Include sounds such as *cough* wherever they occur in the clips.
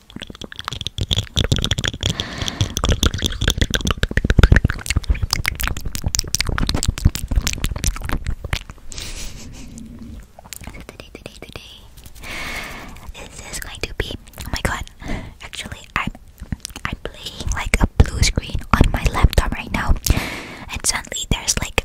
today, This is going to be. Oh my god! Actually, I'm I'm playing like a blue screen on my laptop right now, and suddenly there's like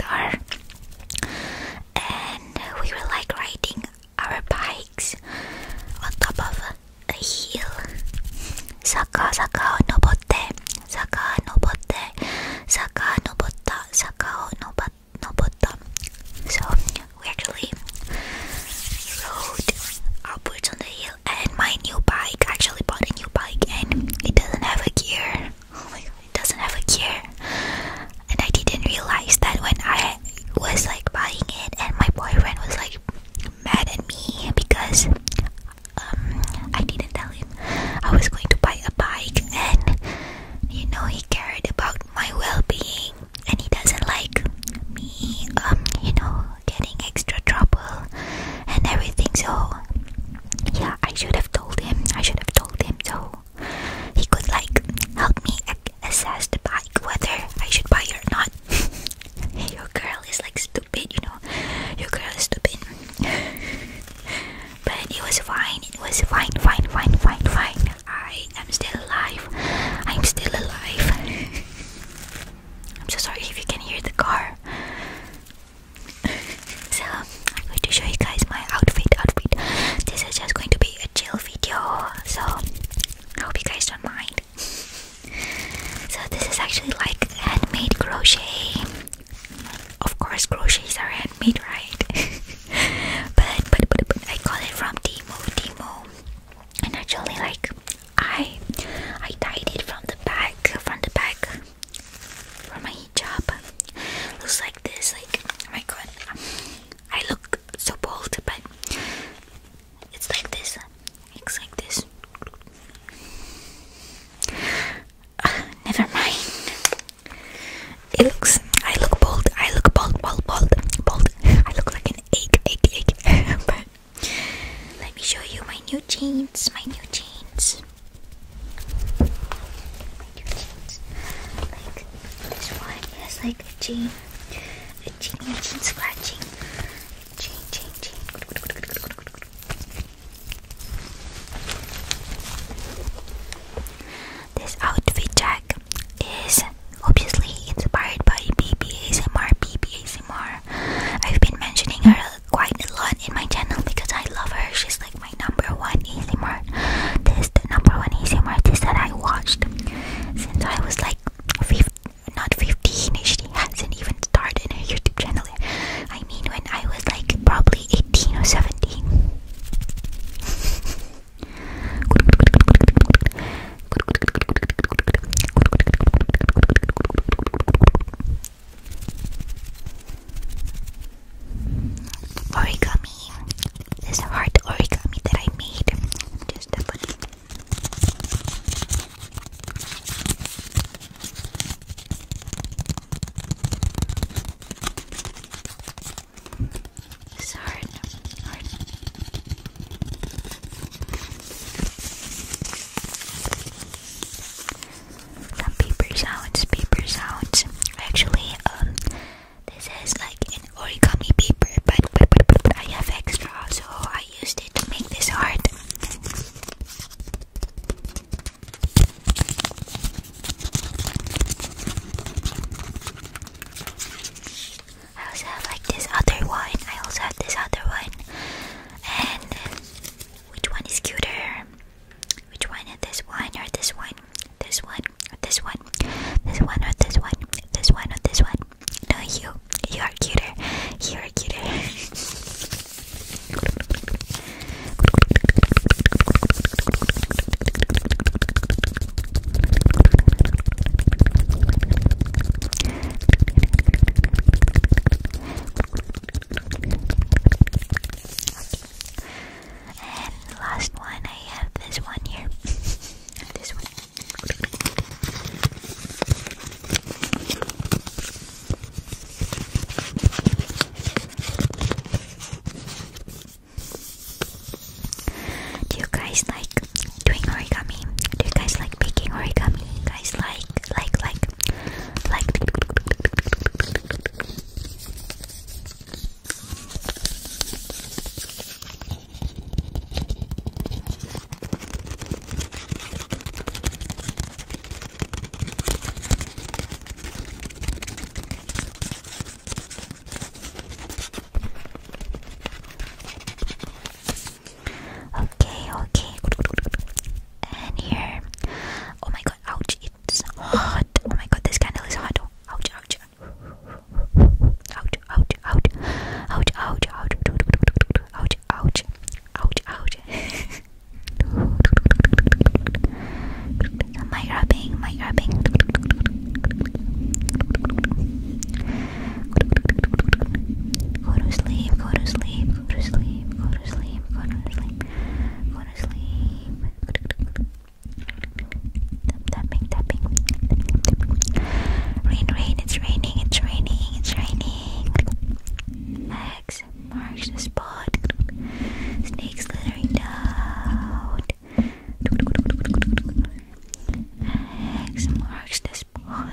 and we were like riding our bikes on top of a hill Saka saka nobotte Saka nobotte Saka nobotta Saka nobotta So we actually rode upwards on the hill and my new bike I actually bought a new bike and it doesn't have a gear Oh my god, it doesn't have a gear. And I didn't realize that when I was like buying it, and my boyfriend was like mad at me because um, I didn't tell him I was going to buy a bike, and you know, he cared about my well being, and he doesn't like me, um, you know, getting extra trouble and everything. So yeah, I should have told him. I should have told him so he could like help me assess the bike whether I should buy it or not. *laughs* Your girl is like stupid, you know. Your girl is stupid. *laughs* but it was fine. It was fine, fine, fine, fine, I am still alive. I'm still alive. *laughs* I'm so sorry if you can hear the car. *laughs* so I'm going to show you guys my outfit outfit. This is just going to be a chill video, so I hope you guys don't mind. *laughs* so this is actually like handmade crochet. Of course crochets are handmade, right? *laughs* but, but but but I got it from Timo Timo. And actually like I I tied it from the back from the back for my hijab. Looks like this, like oh my god. I look so bold, but it's like this. It's like this. Ah, never mind. It looks. I look bold. I look bold, bold, bold, bold. I look like an egg, egg, egg. let me show you my new jeans. My new jeans. Like this one is like a jean. A jean, a jean scratching. Jean, jean, jean. This outfit check is obviously inspired by BBASMR, BBASMR. I've been mentioning her quite a lot in my channel because I love her. She's like my number one Easy Mart. this the number one ASMR artist that I watched since I was like 15, not 15. She hasn't even started a YouTube channel. I mean, when I was like probably 18 or 17. *laughs* Origami. This hard origami that I made. Just some paper sounds, paper sounds. Actually, um, this is like an origami paper, but, but, but, I have extra, so I used it to make this art. I also have like this other one. I also have this other one. And which one is cuter? Which one is this one or this one? This one or this one? This one or this one? This one or this one? No, you. You are cuter. You are cuter. And last one, I have this one here. *laughs* this one. Do you guys like doing origami? Do you guys like making origami? guys like, like, like, like Okay, okay. And here. Oh my god, ouch, it's hot. Oh my god, this candle is hot. Oh, ouch, ouch. Ouch, ouch, ouch. Ouch, ouch, ouch. Ouch, ouch. Ouch, ouch. Am I rubbing? Am I rubbing? Go to sleep, go to sleep, go to sleep, go to sleep, go to sleep, go to sleep, go want to Rain, rain, it's raining, it's raining, it's raining. X marks the spot. Snake slithering down. X marks the spot.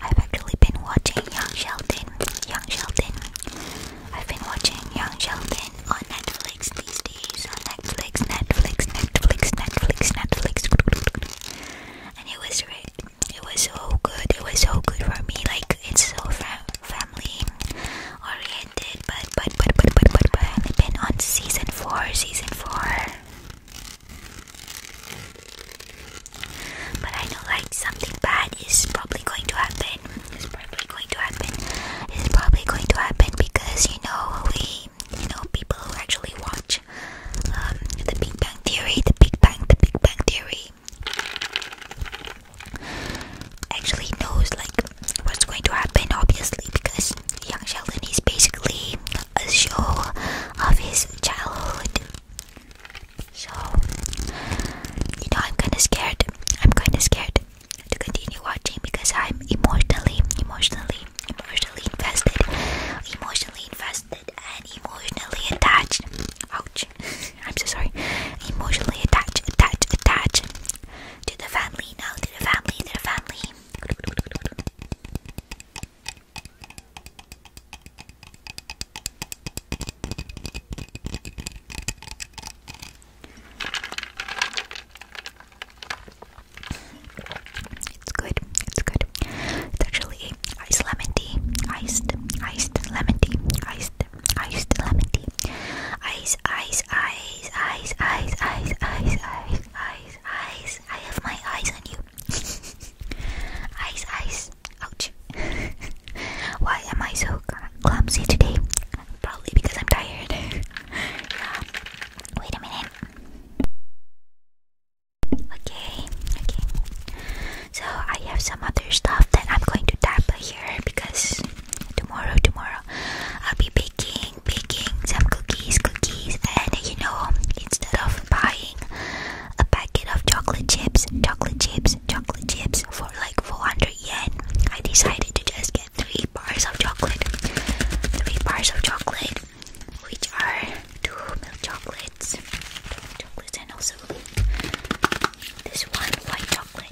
I've actually been watching Young Sheldon. Young Sheldon. I've been watching Young Sheldon on Netflix these days. Netflix, Netflix, Netflix, Netflix, Netflix. And it was great. It was so good. It was so good for me. Like it's so fam family oriented, but but but but but but, but I've been on season four, season four. But I know like something bad is probably going to happen. It's probably going to happen. It's probably going to happen because you know we, you know, people who actually watch um, the Big Bang Theory, the Big Bang, the Big Bang Theory actually knows like what's going to happen obviously because young Sheldon is basically a show of his childhood. So you know I'm kinda scared. I'm kinda scared to continue watching because I'm emotionally, emotionally, emotionally invested, emotionally invested and emotionally attached. Ouch. *laughs* I'm so sorry. Emotionally attached, attached, attached to the family now, to the family, to the family. It's good, it's good. It's actually iced lemon tea, iced, iced lemon tea, iced Iced lemon tea. Ice, ice, ice, ice, ice, ice, ice, ice, ice, I have my eyes on you. *laughs* ice, ice. Ouch. *laughs* Why am I so clumsy today? Probably because I'm tired. *laughs* yeah. Wait a minute. Okay, okay. So I have some other stuff that I'm going to tap here because tomorrow tomorrow I'll be baking baking some cookies cookies and you know instead of buying a packet of chocolate chips chocolate chips chocolate chips for like 400 yen I decided to just get three bars of chocolate three bars of chocolate which are two milk chocolates two chocolates and also this one white chocolate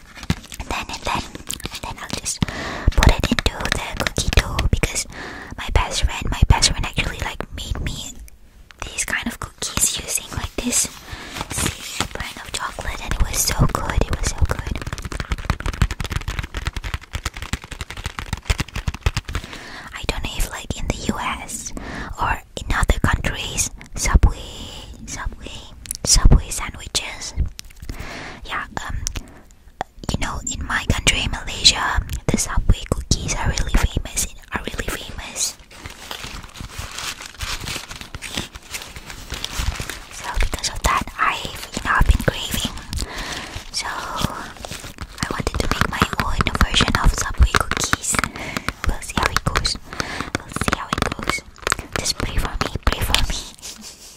and then and then and then I'll just put it into the cookie dough because my best friend, my best friend actually like made me these kind of cookies using like this same brand of chocolate, and it was so good. It was so good. I don't know if like in the U.S. or in other countries, subway, subway, subway sandwiches yeah, um, you know, in my country, Malaysia, the Subway cookies are really famous. Are really famous. So because of that, I've you know been craving. So I wanted to make my own version of Subway cookies. We'll see how it goes. We'll see how it goes. Just pray for me. Pray for me. *laughs*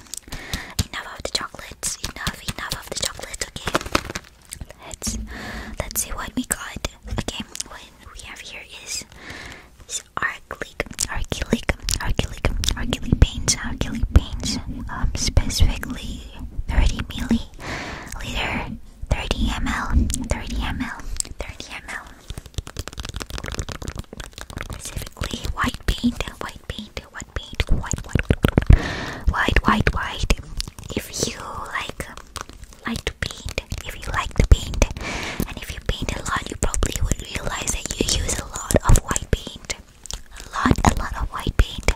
Enough of the chocolates. Enough, enough of the chocolates. Okay, let's let's see what we got. Okay, what we have here is is archilic, archilic, archilic, archilic paints, archilic Um, specifically 30 milli liter, 30 ml, 30 ml, 30 ml. Specifically white paint, white white paint, white paint, white, white, white, white, white. If you like, like to paint, if you like to paint, and if you paint a lot, you probably would realize that you use a lot of white paint, a lot, a lot of white paint,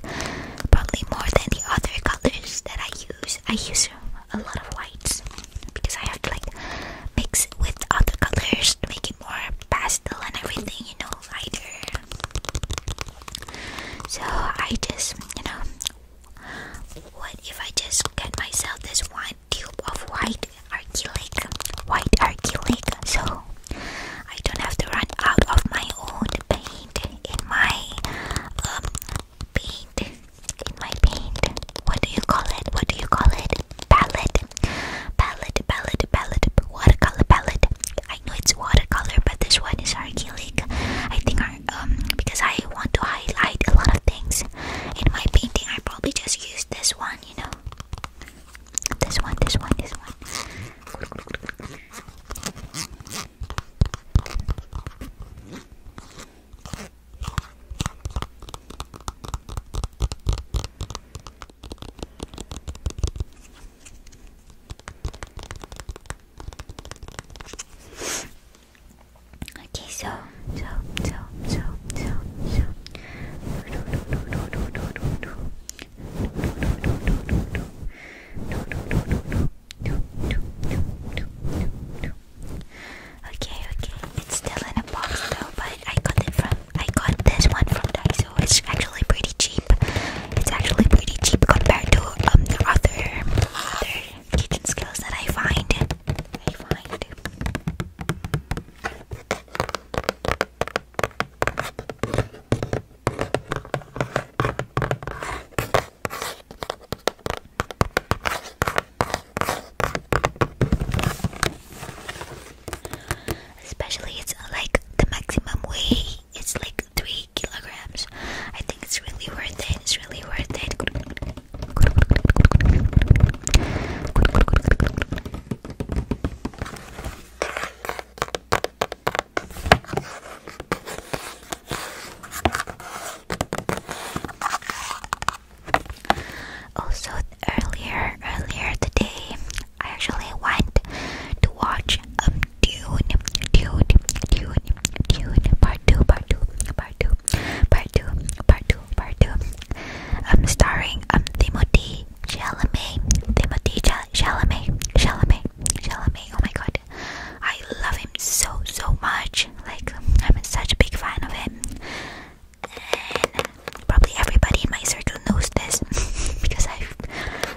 probably more than the other colors that I use. I use a lot of whites because I have to like mix with other colors to make it more pastel and everything, you know, lighter so I just, you know, what if I just get myself this one tube of white acrylic, white acrylic, so I don't have to run out of my own paint in my um paint in my paint. What do you call it? What do you call it? Palette, palette, palette, palette, watercolor palette. I know it's watercolor, but this one is acrylic. I think um because I want to highlight a lot of things in my painting. I probably just use this one, you know. This one, this one, this one. Okay, so, so, so, so, so, so. Okay, okay. It's still in a box though, but I got it from I got this one from Dyson. It's actually pretty cheap. It's actually pretty cheap compared to um the other other kitchen skills that I find. I find. Especially, it's uh, like the maximum way it's like three kilograms. I think it's really worth it. It's really worth it. Also, earlier earlier today, I actually went to watch Dune, Dune, Dune, Dune, part two, part two, part two, part two, part two, part two. I'm starring um Timothy Chalamet, Timothy Chalamet, Chalamet, Chalamet. Oh my god, I love him so so much. Like I'm such a big fan of him, and probably everybody in my circle knows this *laughs* because I've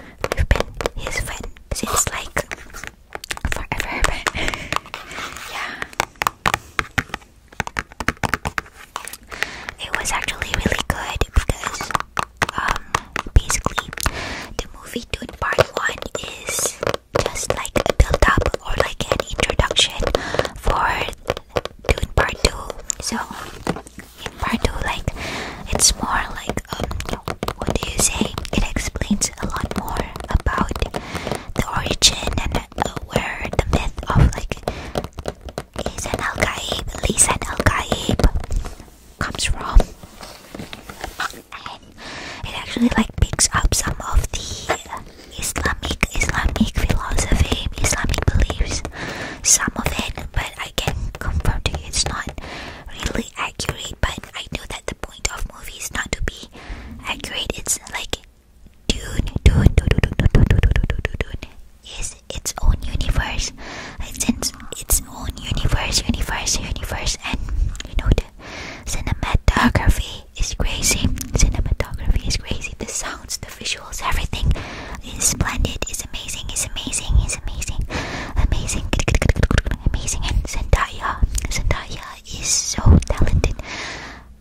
We've been his friend since like forever, *laughs* yeah. It was actually really good because um basically the movie Dune Part 1 is just like a build up or like an introduction for Dune Part 2. So in part like it's more like um, what do you say? It explains a lot more about the origin and uh, where the myth of like Lisan Al Gaib, Lisan Al Gaib comes from, it actually like picks up some of the Islamic Islamic philosophy, Islamic beliefs, some of it, but I can confirm to you it's not really accurate, but I know that the point of movie is not to be accurate. It's like Dune, Dune, Dune, Dune, Dune, Dune, Dune, Dune, Dune, Dune is its own universe. It's in its own universe, universe, universe, and you know the cinematography is crazy. Cinematography is crazy. The sounds, the visuals, everything. He's splendid. He's amazing. He's amazing. He's amazing. Amazing. Amazing. Zendaya. Zendaya is so talented.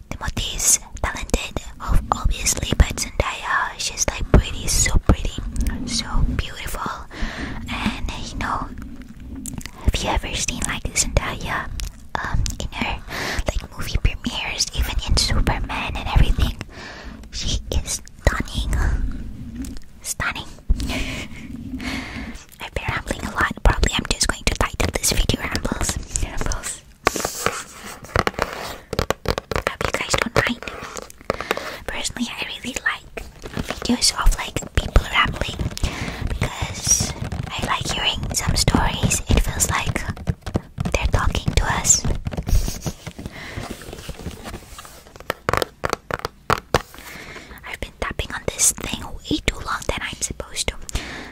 Timothy is talented, obviously, but Zendaya, she's like pretty, so pretty, so beautiful. And you know, have you ever seen like Zendaya um, in her like movie premieres, even in Superman and everything? She is Stunning. Stunning. I've rambling a lot. Probably I'm just going to title this video rambles. hope you guys don't mind. Personally, I really like videos of like people rambling because I like hearing some stories. It feels like they're talking to us. I've been tapping on this thing way too long than I'm supposed to.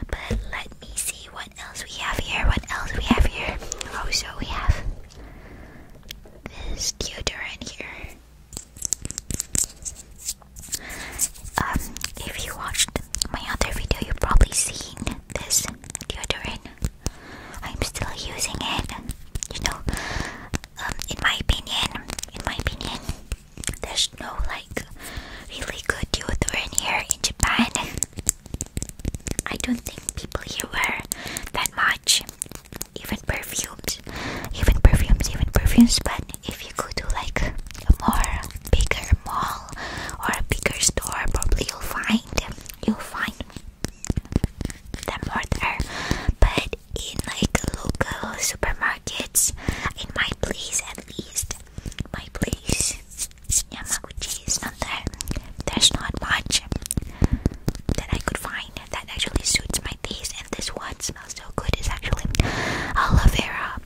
But let me see what else we have here. What else we have here? Oh, so we have this deodorant here. Um, if you watched my other video, you've probably seen this deodorant. I'm still using it. You know, um, in my opinion, in my opinion, there's no like really good deodorant here in Japan. I don't think people here wear that much, even perfumes, even perfumes, even perfumes. But if you go to like a more bigger mall or a bigger store, probably you'll find you'll find the mortar, but in like local supermarkets, in my place at least, my place, Yamaguchi is not there. There's not much that I could find that actually suits my taste, and this one smells so good. It's actually aloe vera,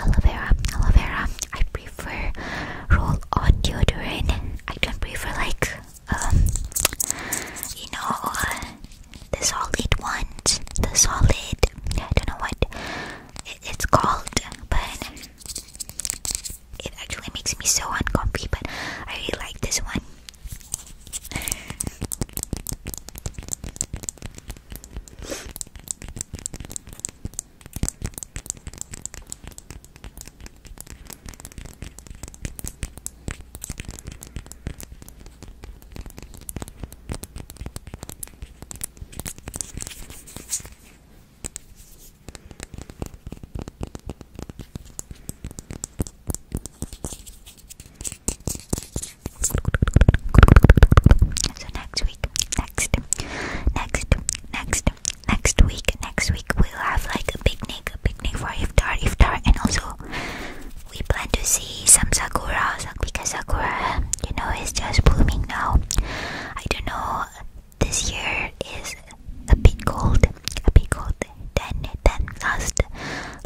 aloe vera, aloe vera. I prefer roll on deodorant. I don't prefer like um, you know, uh, the solid ones, the solid, I don't know what it's called, but it actually makes me so uncomfortable. but I really like this one. So next week, next, next, next, next week, next week we'll have like a picnic, a picnic picnic iftar, iftar, and also we plan to see some sakura because sakura, you know, is just blooming now. I don't know. This year is a bit cold, a bit cold than than last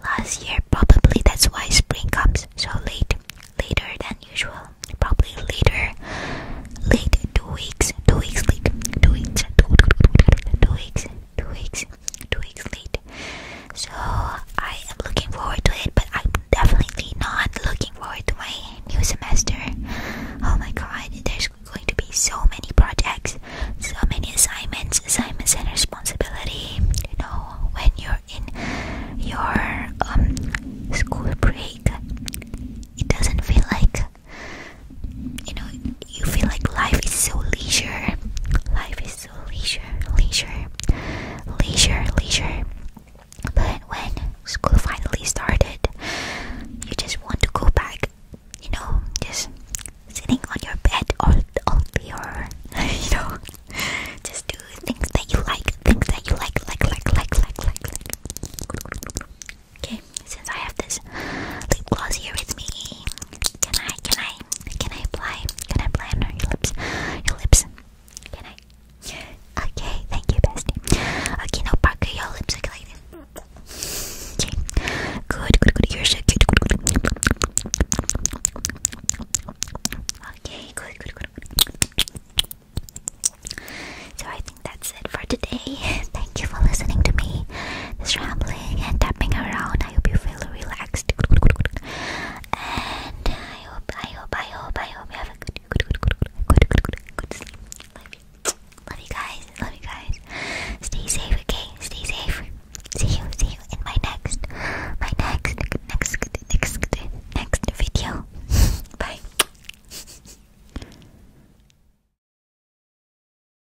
last year. Probably that's why spring comes so late, later than usual. Probably later, late two weeks, two weeks late, two weeks, two, two, two, two, two weeks, two weeks, two weeks late. So I am looking forward to it, but I'm definitely not looking forward to my new semester. Oh my god, there's going to be so many projects, so many assignments, assignments and responsibility. You know, when you're in your um school break, it doesn't feel like you know you feel like life is so leisure life is so leisure leisure leisure leisure but when school finally started you just want to go back you know just sitting on your bed all all day or *laughs* you know just doing things that you like things that you like like like like like like like Okay, since I have this lip gloss here with me, can I, can I, can I apply, can I apply on your lips, your lips, can I? Okay, thank you, bestie. Okay, now Parker, your lips like this. Okay, good, good, good. Okay, good, good, good. So I think that's it for today. *laughs* Thank you for listening to me this rambling and tapping around. I hope you feel relaxed. And I hope, I hope, I hope, I hope you have a good, good, good, good, good, good, good, good sleep. Love you. Love you guys. Love you guys. Stay safe, okay? Stay safe. See you, see you in my next, my next, next, next, next video. *laughs* Bye.